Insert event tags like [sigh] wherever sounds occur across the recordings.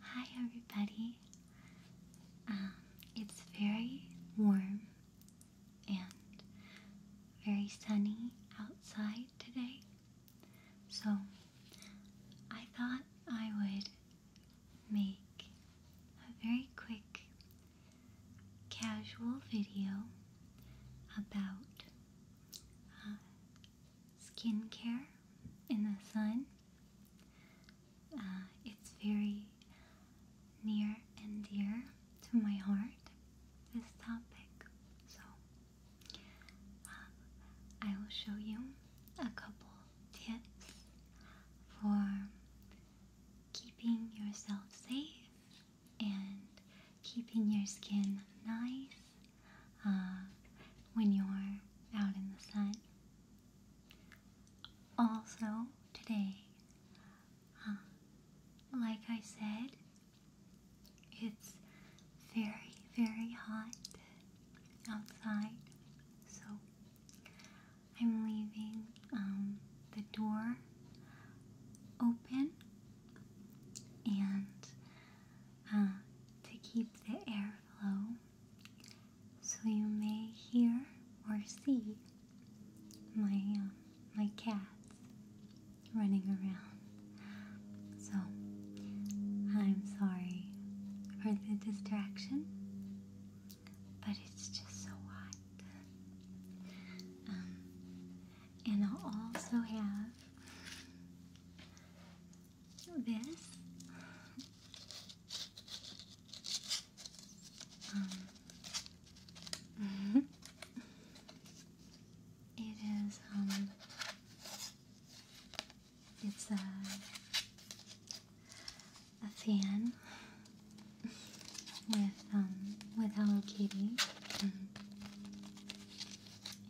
Hi, everybody. Um, it's very warm and very sunny outside today, so I thought I would make a very quick, casual video about um, skincare in the sun. Uh, it's very near and dear to my heart, this topic. So, uh, I will show you a couple tips for keeping yourself safe and keeping your skin nice uh, when you're out in the sun. Also, today, uh, like I said, it's very, very hot outside, so I'm leaving um, the door open and uh, to keep the airflow so you may hear or see my um, my cats running around. So I'm sorry for the distraction, but it's just so hot. Um, and I'll also have this. Um, mm-hmm. it is, um, it's a, a fan with, um, with Hello Kitty.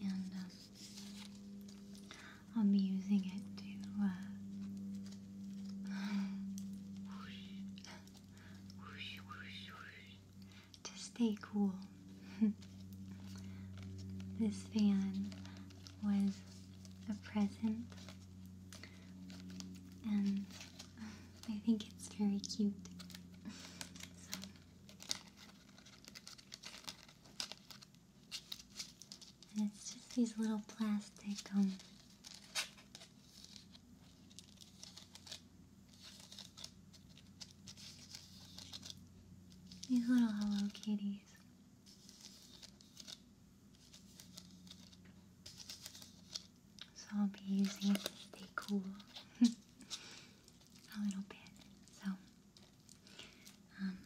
And, um, I'll be using it to uh, to stay cool. [laughs] this fan was a present, and I think it's very cute. [laughs] And it's just these little plastic um, these little Hello Kitties. So I'll be using it to stay cool. [laughs] a little bit. So, um,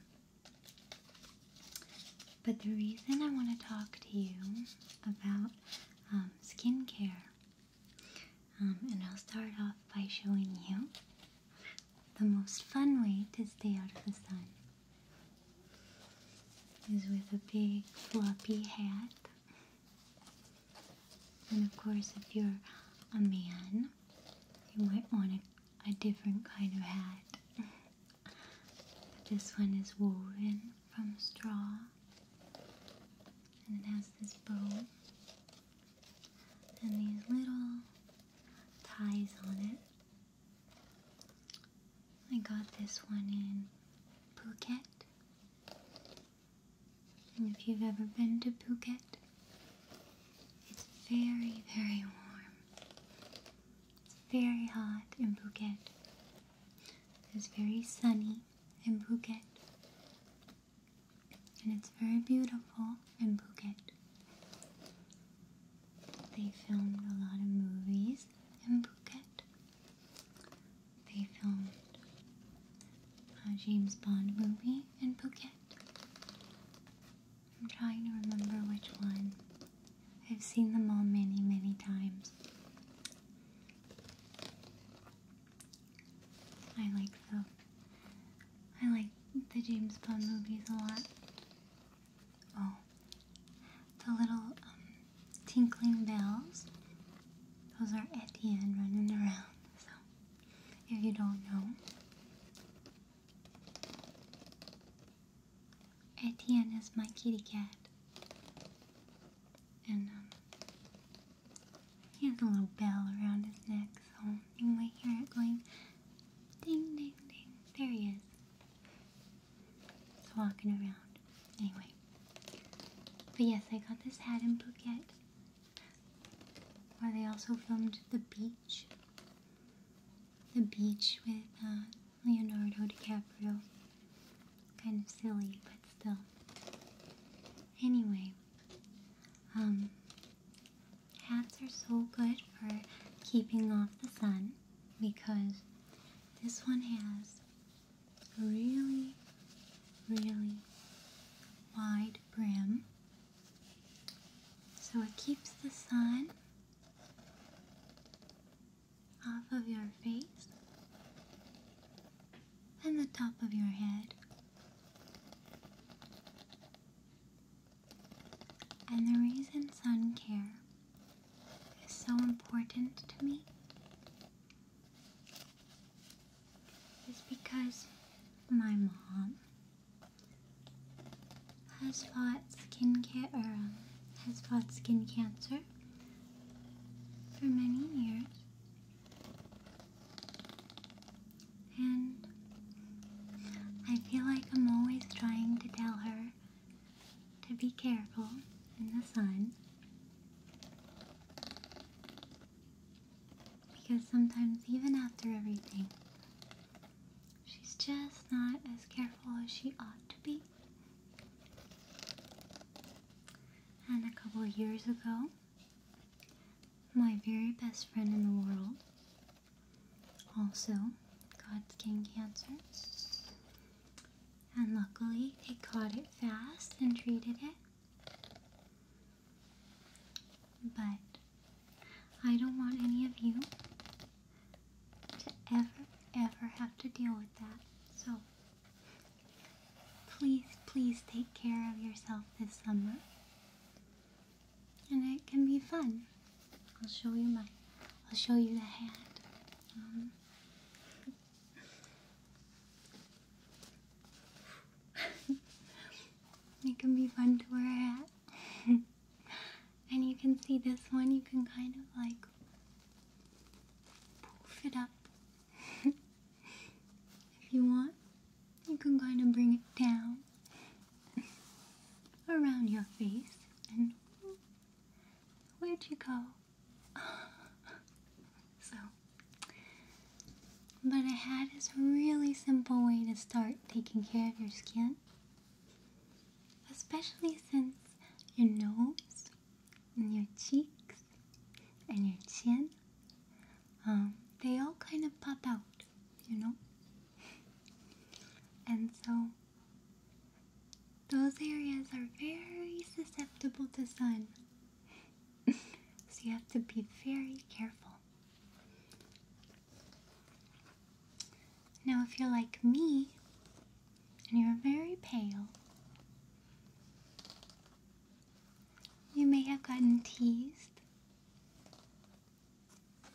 but the reason I want to talk to you about um, skincare, um, and I'll start off by showing you the most fun way to stay out of the sun is with a big floppy hat. And of course, if you're a man, you might want a, different kind of hat. but this one is woven from straw, and it has this bow and these little ties on it. I got this one in Phuket and if you've ever been to Phuket, it's very, very warm. It's very hot in Phuket. It's very sunny in Phuket. And it's very beautiful in Phuket. They filmed a lot of movies in Phuket. They filmed a uh, James Bond movie in Phuket. I'm trying to remember which one. I've seen them all many, many times. I like the I like the James Bond movies a lot. Oh, the little um, tinkling bells. Those are Etienne running around. [laughs] So if you don't know. Etienne is my kitty cat. And um, he has a little bell around his neck, so you might hear it going ding, ding, ding. There he is. It's walking around. Anyway. But yes, I got this hat in Phuket. Or they also filmed The Beach. The Beach with uh, Leonardo DiCaprio. Kind of silly, but still. Anyway, um, hats are so good for keeping off the sun because this one has really really wide brim so it keeps the sun off of your face and the top of your head. And the reason sun care is so important to me is because my mom has fought skin ca- um, has fought skin cancer for many years. And I feel like I'm always trying to tell her to be careful in the sun. Because sometimes, even after everything, she's just not as careful as she ought to be. And a couple years ago, my very best friend in the world also got skin cancer. And luckily, they caught it fast and treated it. But I don't want any of you to ever, ever have to deal with that. So please, please take care of yourself this summer. And it can be fun. I'll show you my, I'll show you the hat. [laughs] it can be fun to wear a [laughs] and you can see this one, you can kind of like poof it up. [laughs] if you want, you can kind of bring it down around your face and where'd you go? So, but I had this really simple way to start taking care of your skin, especially since your nose and your cheeks and your chin, um, they all kind of pop out, you know? [laughs] and so, those areas are very susceptible to sun [laughs] so you have to be very careful. Now, if you're like me and you're very pale, you may have gotten teased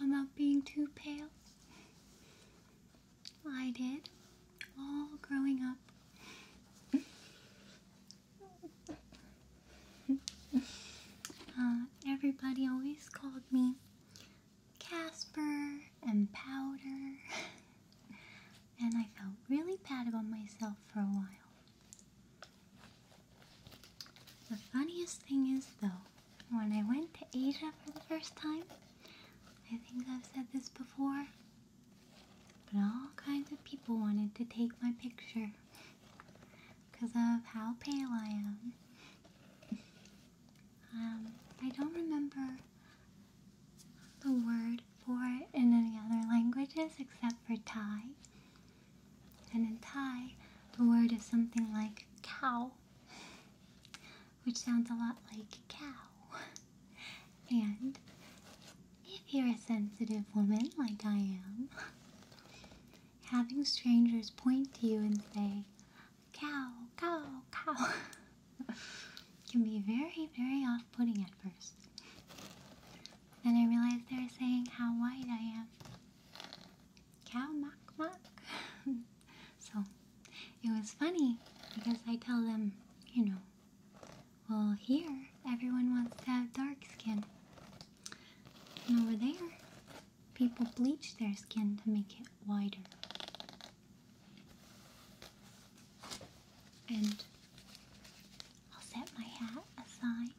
about being too pale. I did, all growing up. [laughs] Uh, everybody always called me Casper and Powder, [laughs] and I felt really bad about myself for a while. The funniest thing is, though, when I went to Asia for the first time, I think I've said this before, but all kinds of people wanted to take my picture because of how pale I am. Um, I don't remember the word for it in any other languages except for Thai. And in Thai, the word is something like cow, which sounds a lot like cow. And if you're a sensitive woman like I am, having strangers point to you and say, cow, cow, cow, [laughs] can be very, very off putting at first. Then I realized they were saying how white I am. Cow, mock, mock. [laughs] so it was funny because I tell them, you know, well, here everyone wants to have dark skin. And over there, people bleach their skin to make it whiter. And I'll set my hat aside.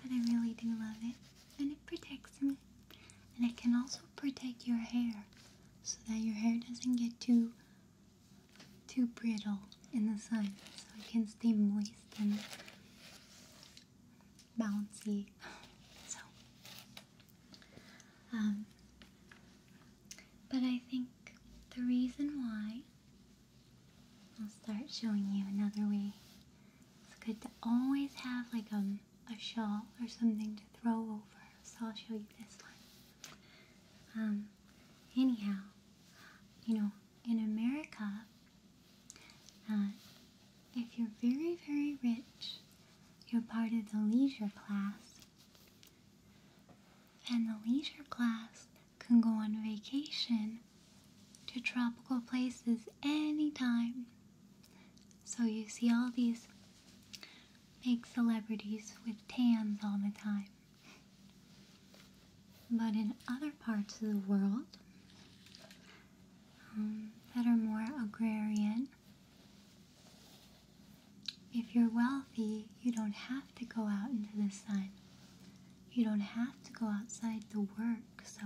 But I really do love it, and it protects me. And it can also protect your hair so that your hair doesn't get too too brittle in the sun so it can stay moist and bouncy [laughs] so um, but I think the reason why I'll start showing you another way it's good to always have like a, um, a shawl or something to throw over so I'll show you this one um, anyhow, you know, in America, uh, if you're very, very rich, you're part of the leisure class. And the leisure class can go on vacation to tropical places anytime. So you see all these make celebrities with tans all the time. But in other parts of the world um, that are more agrarian, if you're wealthy, you don't have to go out into the sun. You don't have to go outside to work, so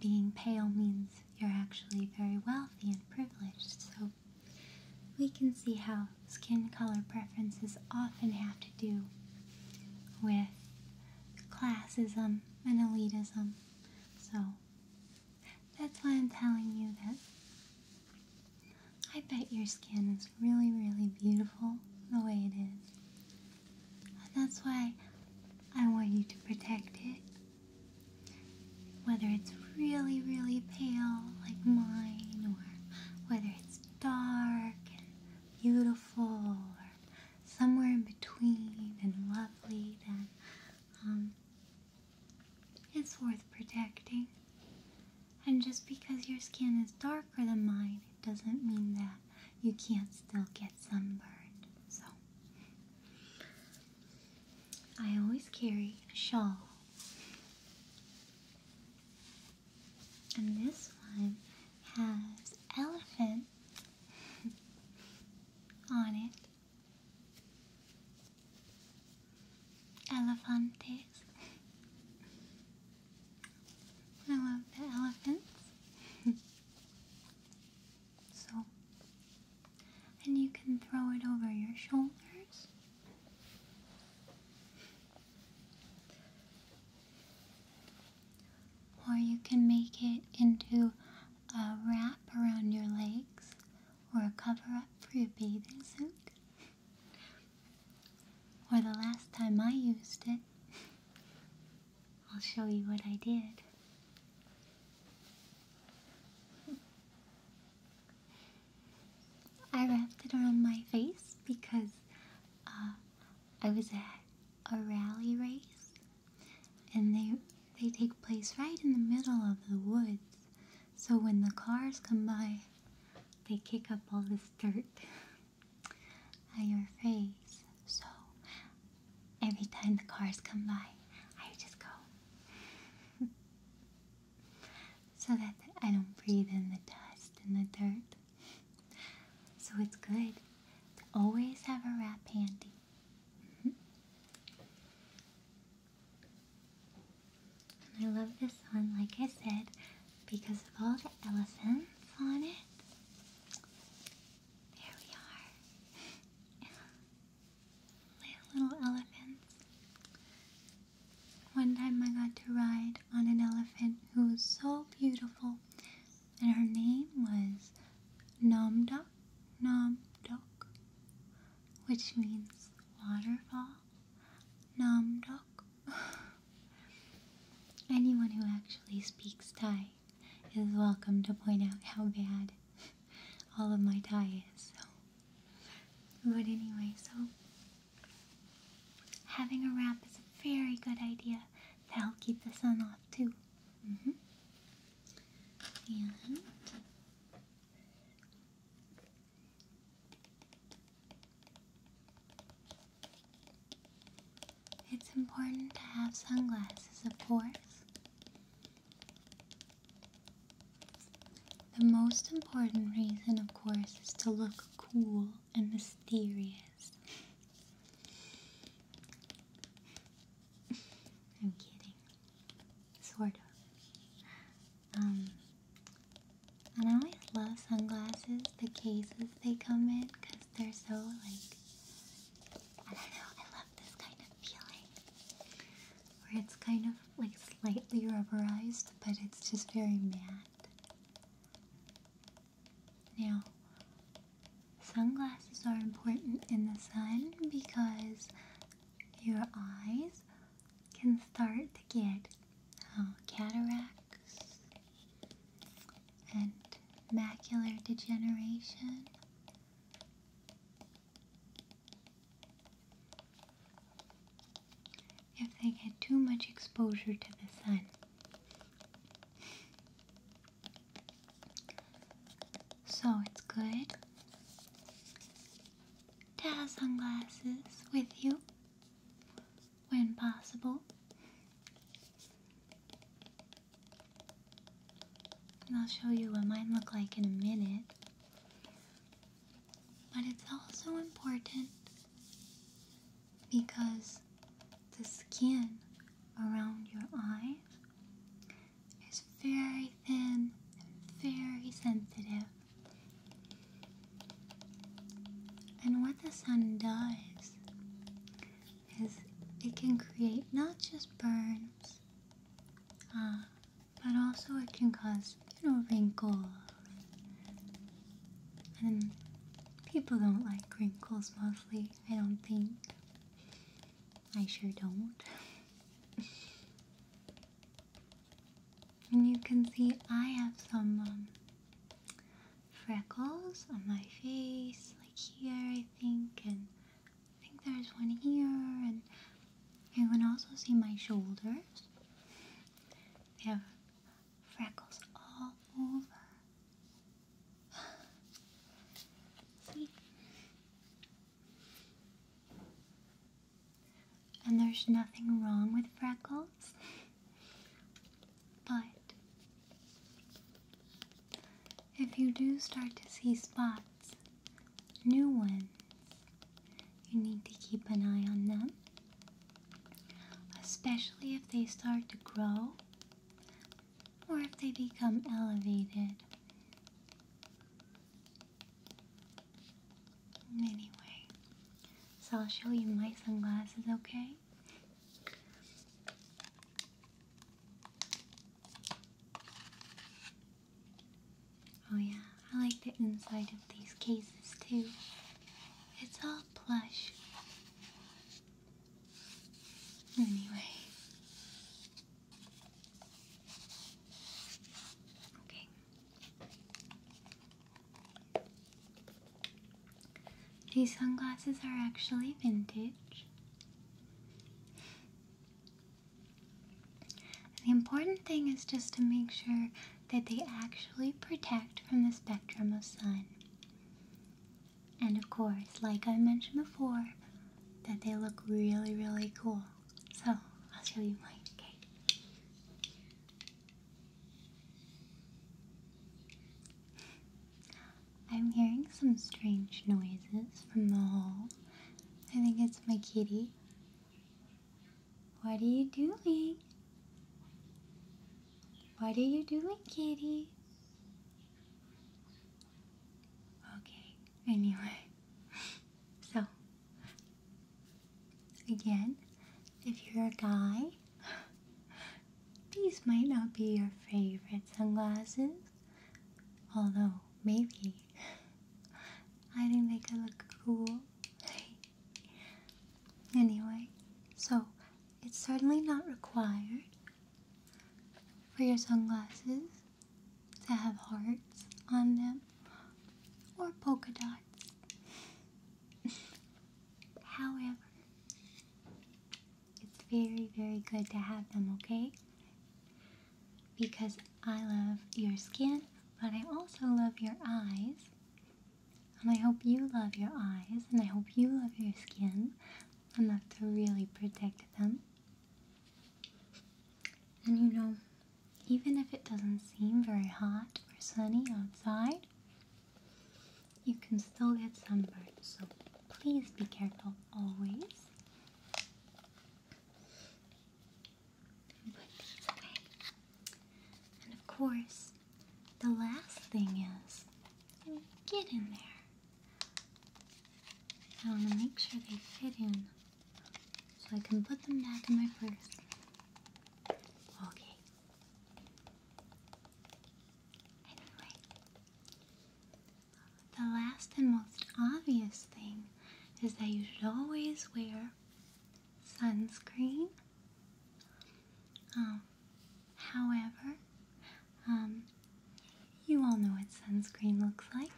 being pale means you're actually very wealthy and privileged. So we can see how skin color preferences often have to do with classism and elitism. So that's why I'm telling you that I bet your skin is really, really beautiful the way it is. And that's why I want you to protect it whether it's really, really pale like mine, or whether it's dark and beautiful, or somewhere in between and lovely, then um, it's worth protecting. And just because your skin is darker than mine, it doesn't mean that you can't still get sunburned. So, I always carry a shawl. And this one has elephant [laughs] on it. Elephantes. I love the elephants. [laughs] so and you can throw it over your shoulders. Or you can make it into a wrap around your legs or a cover up for your bathing suit. Or the last time I used it, I'll show you what I did. I wrapped it around my face because uh, I was at a rally race, and they they take place right in the middle of the woods. So when the cars come by, they kick up all this dirt [laughs] on your face. So every time the cars come by, I just go. [laughs] so that I don't breathe in the dust and the dirt. So it's good to always have a wrap handy. Mm-hmm. I love this one, like I said, because of all the elephants on it. There we are. [laughs] little elephants. One time I got to ride on an elephant who was so beautiful, and her name was Nam Namdok, which means waterfall. Nam Namdok. [laughs] Anyone who actually speaks Thai is welcome to point out how bad all of my ties. So, but anyway, so having a wrap is a very good idea to help keep the sun off too. Mm-hmm. And it's important to have sunglasses, of course. The most important reason, of course, is to look cool and mysterious. I'm kidding. Sort of. Um, I always love sunglasses, the cases they come in, because they're so, like, I don't know, I love this kind of feeling where it's kind of like slightly rubberized, but it's just very matte. Now, sunglasses are important in the sun because your eyes can start to get uh, cataracts and macular degeneration if they get too much exposure to the sun. So it's good to have sunglasses with you when possible. And I'll show you what mine look like in a minute. But it's also important because the skin around your eye is very thin and very sensitive. And what the sun does is it can create not just burns, uh, but also it can cause, you know, wrinkles. And people don't like wrinkles mostly, I don't think. I sure don't. [laughs] and you can see I have some um, freckles on my face, like here I think, and I think there's one here, and you can also see my shoulders. They have freckles all over. see? [sighs] And there's nothing wrong with freckles, but if you do start to see spots, new ones. You need to keep an eye on them, especially if they start to grow or if they become elevated. Anyway, so I'll show you my sunglasses, okay? Oh yeah, I like the inside of these cases too. It's all plush. Anyway. Okay. These sunglasses are actually vintage the important thing is just to make sure that they actually protect from the spectrum of sun. And of course, like I mentioned before, that they look really, really cool. So, I'll show you mine, okay? I'm hearing some strange noises from the hall, I think it's my kitty. What are you doing? What are you doing, kitty? Okay, anyway. [laughs] So, again, if you're a guy, [gasps] these might not be your favorite sunglasses. Although, maybe, I think they could look cool. anyway, so it's certainly not required for your sunglasses to have hearts on them or polka dots. [laughs] However, it's very, very good to have them, okay? Because I love your skin, but I also love your eyes. And I hope you love your eyes, and I hope you love your skin enough to really protect them. And you know, even if it doesn't seem very hot or sunny outside, you can still get sunburned, so please be careful always. And of course, the last thing is get in there. I want to make sure they fit in so I can put them back in my purse. Okay. Anyway, the last and most obvious thing is that you should always wear sunscreen. Um, however, um, you all know what sunscreen looks like,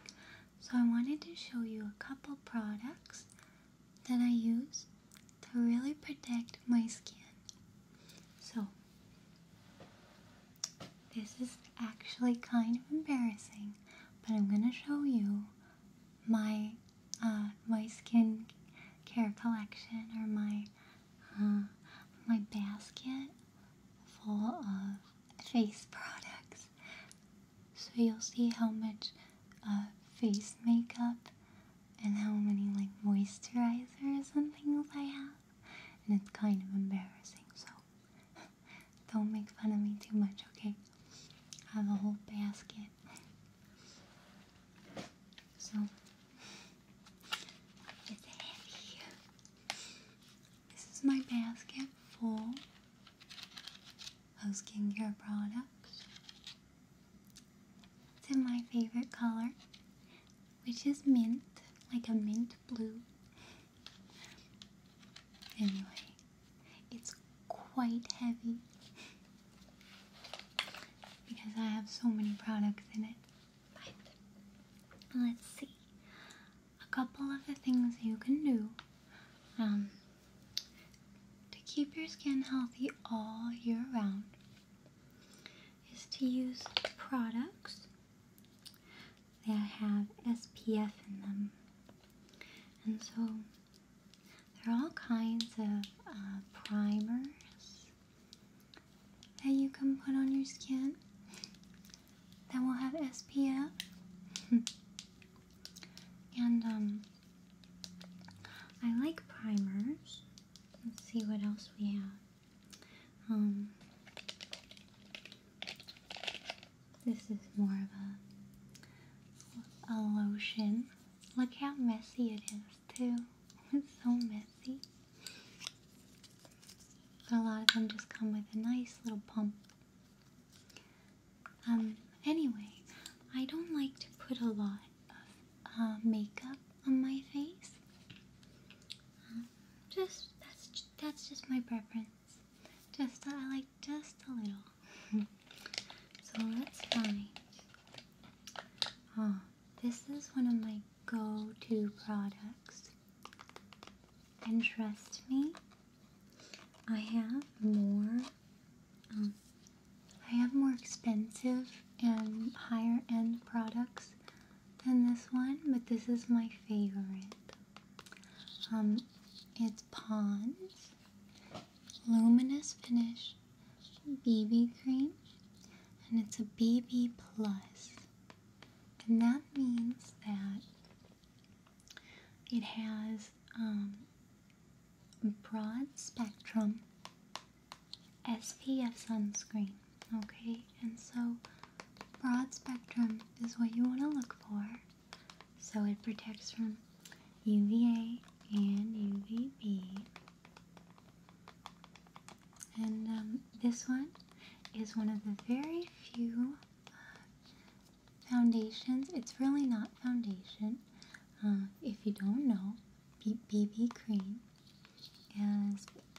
so I wanted to show you a couple products that I use to really protect my skin. So, this is actually kind of embarrassing, but I'm gonna show you my uh, my skin care collection or my uh, my basket full of face [laughs] products. So you'll see how much uh, face makeup and how many like moisturizers and things I have, and it's kind of embarrassing. So. Don't make fun of me too much, okay? I have a whole basket. So, it's heavy. This is my basket full of skincare products. It's in my favorite color, which is mint, like a mint blue. Anyway, it's quite heavy because I have so many products in it. let's see. A couple of the things you can do um, to keep your skin healthy all year round is to use products they have SPF in them. And so there are all kinds of uh, primers that you can put on your skin that will have SPF. [laughs] and um, I like primers. Let's see what else we have. Um, this is more of a, a lotion. Look how messy it is too. [laughs] It's so messy. But a lot of them just come with a nice little pump. Um, anyway, I don't like to put a lot of uh, makeup on my face just that's that's just my preference. Just I like just a little. [laughs] so let's find. Oh, this is one of my go-to products. And trust me, I have more. Um, I have more expensive and higher end products than this one, but this is my favorite. Um, it's Pond's Luminous Finish BB Cream, and it's a BB Plus, and that means that it has um, broad spectrum SPF sunscreen. Okay, and so broad spectrum is what you want to look for. So it protects from UVA and UVB. And um, this one is one of the very few uh, foundations. It's really not foundation. Uh, if you don't know, BB cream is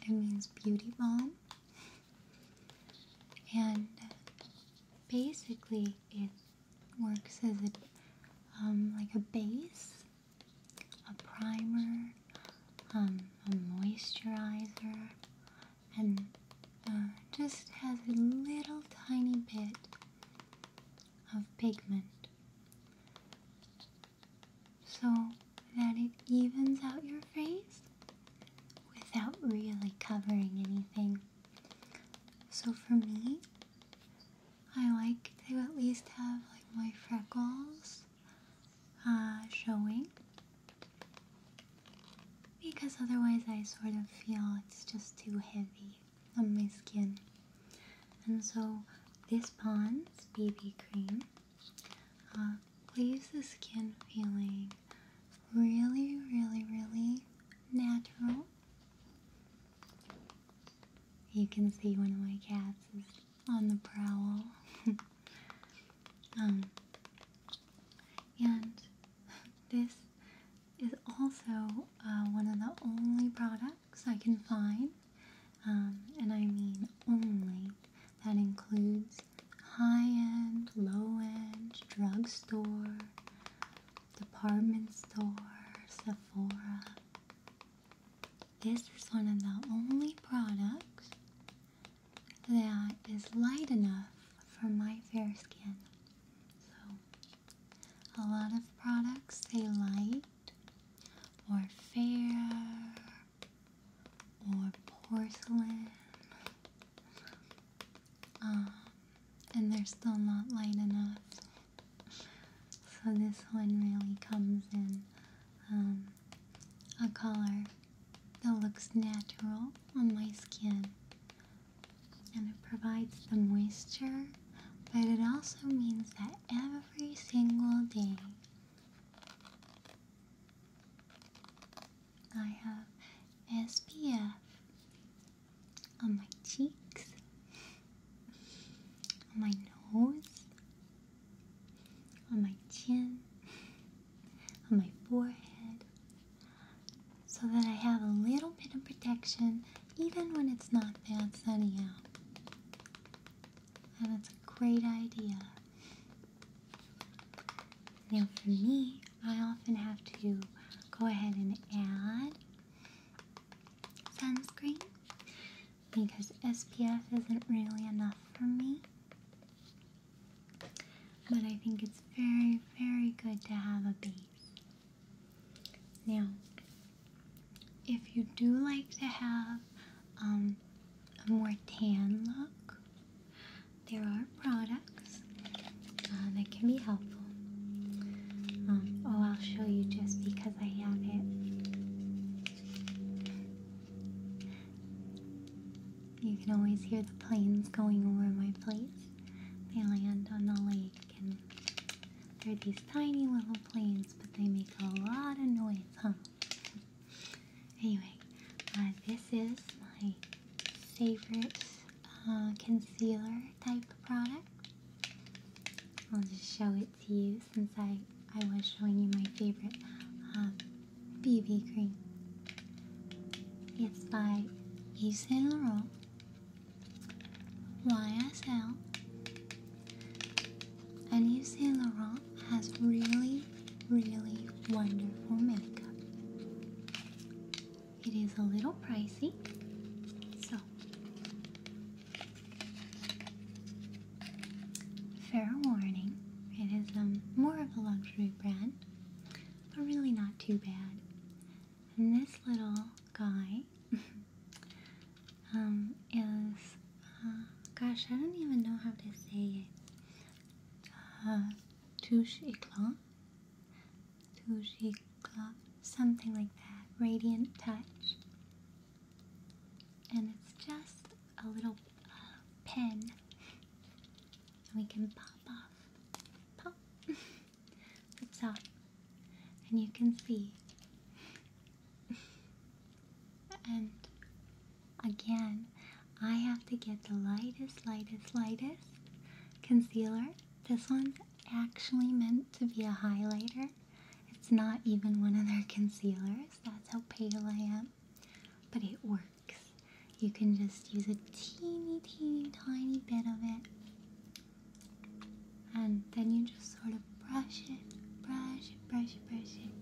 it means beauty balm and basically it works as a um, like a base, a primer, um, a moisturizer, and uh, just has a little tiny bit of pigment so that it evens out your face without really covering anything. So for me, I like to at least have like my freckles uh, showing because otherwise I sort of feel it's just too heavy on my skin. And so this Pond's BB cream uh, leaves the skin feeling really, really, really natural. You can see one of my cats is on the prowl. [laughs] Um, and this is also uh, one of the only products I can find, um, and I mean only that includes high end, low end, drugstore, department store, Sephora. This is one of the only products that is light enough for my fair skin. So, a lot of products say light or fair or porcelain. Um, and they're still not light enough. So this one really comes in um, a color that looks natural on my skin. And it provides the moisture, but it also means that every single day I have SPF on my cheeks, on my nose, on my chin, on my forehead, so that I have a little bit of protection even when it's not that sunny out. That's a great idea. Now for me, I often have to go ahead and add sunscreen because SPF isn't really enough for me. But I think it's very, very good to have a base. Now, if you do like to have um, a more tan look. There are products uh, that can be helpful. Um, oh, I'll show you just because I have it. You can always hear the planes going over my place. They land on the lake, and they're these tiny little planes, but they make a lot of noise, huh? Anyway, uh, this is my favorite uh, concealer type product. I'll just show it to you since I, I was showing you my favorite BB uh, cream. It's by Yves Saint Laurent YSL and Yves Saint Laurent has really, really wonderful makeup. It is a little pricey, so fair warning. It is um, more of a luxury brand, but really not too bad. And this little guy [laughs] um, is gosh, I don't even know how to say it. Uh, touche éclat, touche something like that. Radiant touch. And it's just a little uh, pen. We can pop off. Pop. [laughs] it's top. And you can see and again, I have to get the lightest, lightest, lightest concealer. This one's actually meant to be a highlighter. It's not even one of their concealers. That's how pale I am. But it works. You can just use a teeny, teeny, tiny bit of it. And then you just sort of. Brush it, brush it, brush, it, brush it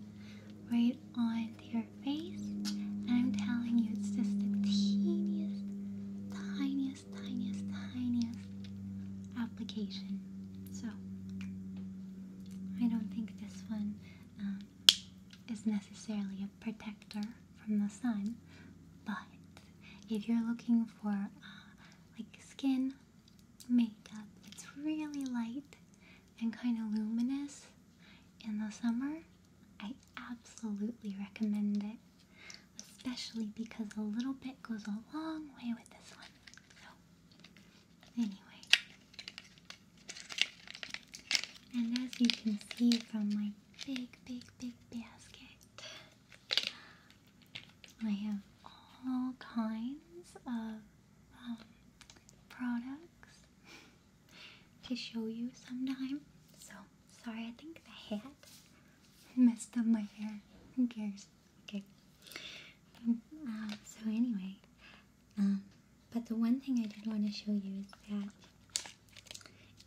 right onto your face. And I'm telling you, it's just the teeniest, tiniest, tiniest, tiniest application. So I don't think this one um, is necessarily a protector from the sun, but if you're looking for uh, like skin makeup it's really light and kind of luminous in the summer, I absolutely recommend it. Especially because a little bit goes a long way with this one. So, anyway. And as you can see from my big, big, big basket, I have all kinds of um, products [laughs] to show you sometime. So sorry, I think the hat [laughs] messed up my hair. Who cares? Okay. Um, so anyway, um, but the one thing I did want to show you is that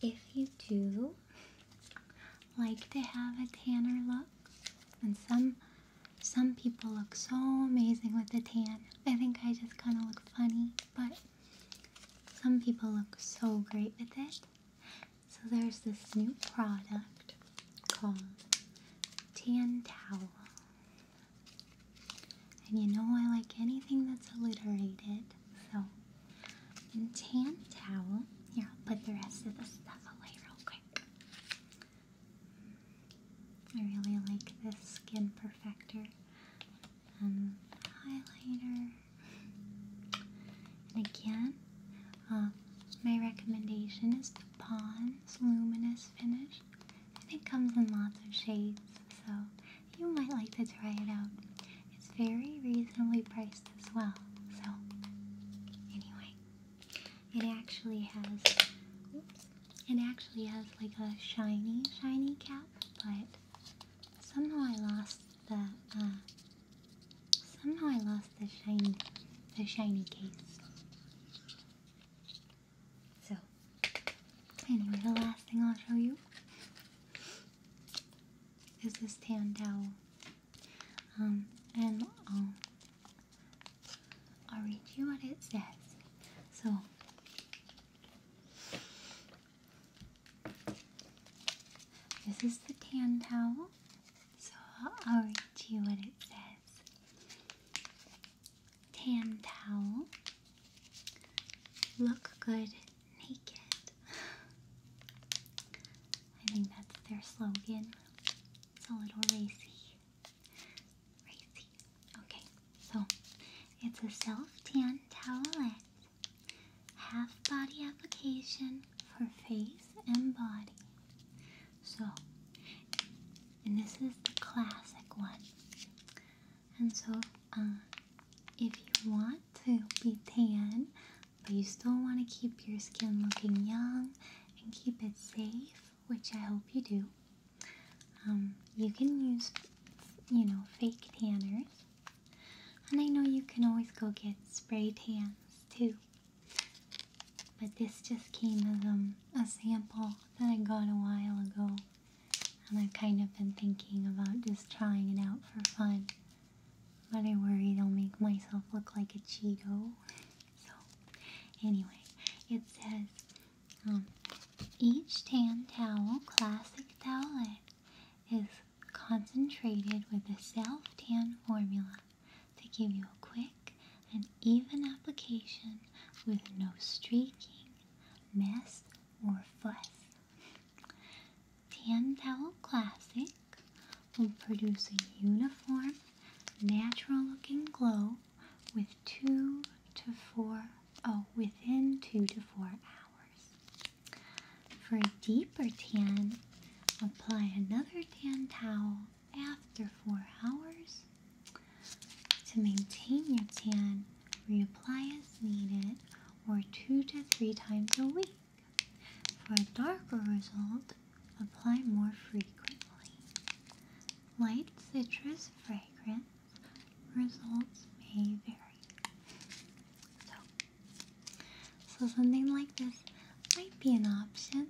if you do like to have a tanner look, and some some people look so amazing with a tan. I think I just kind of look funny, but some people look so great with it. So there's this new product called Tan Towel. And you know I like anything that's alliterated, so in Tan Towel, here I'll put the rest of the stuff away real quick. I really like this Skin Perfector um, highlighter. And again, um, my recommendation is the Pond's Luminous Finish. And it comes in lots of shades, so you might like to try it out. It's very reasonably priced as well. So, anyway, it actually has, it actually has like a shiny, shiny cap, but somehow I lost the, uh, somehow I lost the shiny, the shiny case. So, anyway, the last thing I'll show you is this tan towel. Um, and I'll I'll read you what it says. So, this is the tan towel. So, I'll read you what it says. Tan towel. Look good naked. I think that's their slogan. It's a little racy. Okay, so it's a self-tan towelette. Half body application for face and body. So, and this is the classic one. And so, uh, if you want to be tan, but you still want to keep your skin looking young and keep it safe, which I hope you do, um, you can use, you know, fake tanners. And I know you can always go get spray tans too. But this just came as um, a sample that I got a while ago. And I've kind of been thinking about just trying it out for fun. But I worry i will make myself look like a Cheeto. [laughs] So, anyway, it says um, each tan towel, classic towelette, is concentrated with a self tan formula to give you a quick and even application with no streaking, mess, or fuss. Tan Towel Classic will produce a uniform natural looking glow with two to four, oh, within two to four hours. For a deeper tan, apply another tan towel after four hours. To maintain your tan, reapply as needed or two to three times a week. For a darker result, Apply more frequently. Light citrus fragrance results may vary. So, so something like this might be an option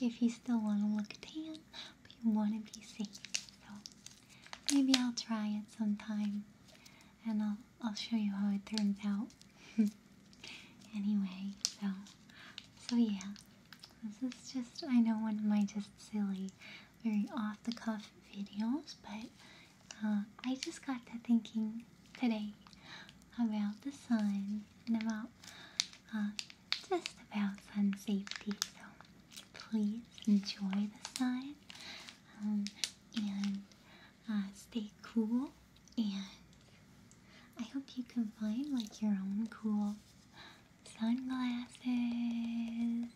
if you still want to look tan, but you want to be safe. So maybe I'll try it sometime, and I'll I'll show you how it turns out. [laughs] anyway, so so yeah. This is just, I know one of my just silly, very off the cuff videos, but uh, I just got to thinking today about the sun and about uh, just about sun safety. So please enjoy the sun um, and uh, stay cool and I hope you can find like your own cool sunglasses and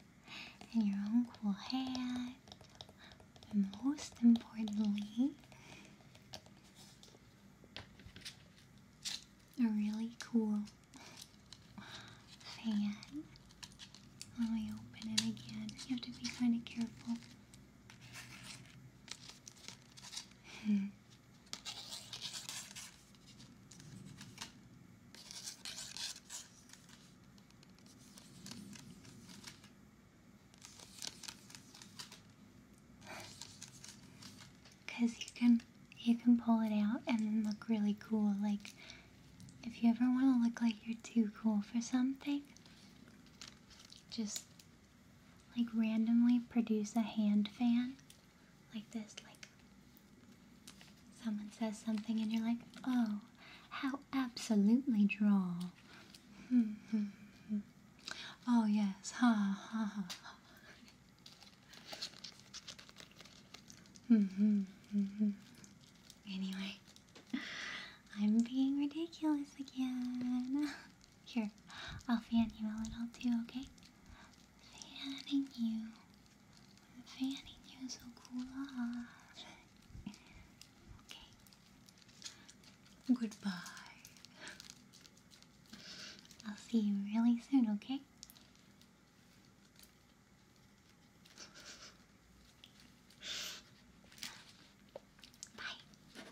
your own cool hat. And most importantly, a really cool fan. Let me open it again. You have to be kind of careful. Hmm. Cause you can you can pull it out and look really cool. Like if you ever want to look like you're too cool for something, just like randomly produce a hand fan like this like someone says something and you're like oh how absolutely droll [laughs] oh yes ha ha ha [laughs] anyway i'm being ridiculous again [laughs] Here, I'll fan you a little too, okay? Fanning you. fanning you so cool okay. Goodbye. I'll see you really soon, okay? Bye.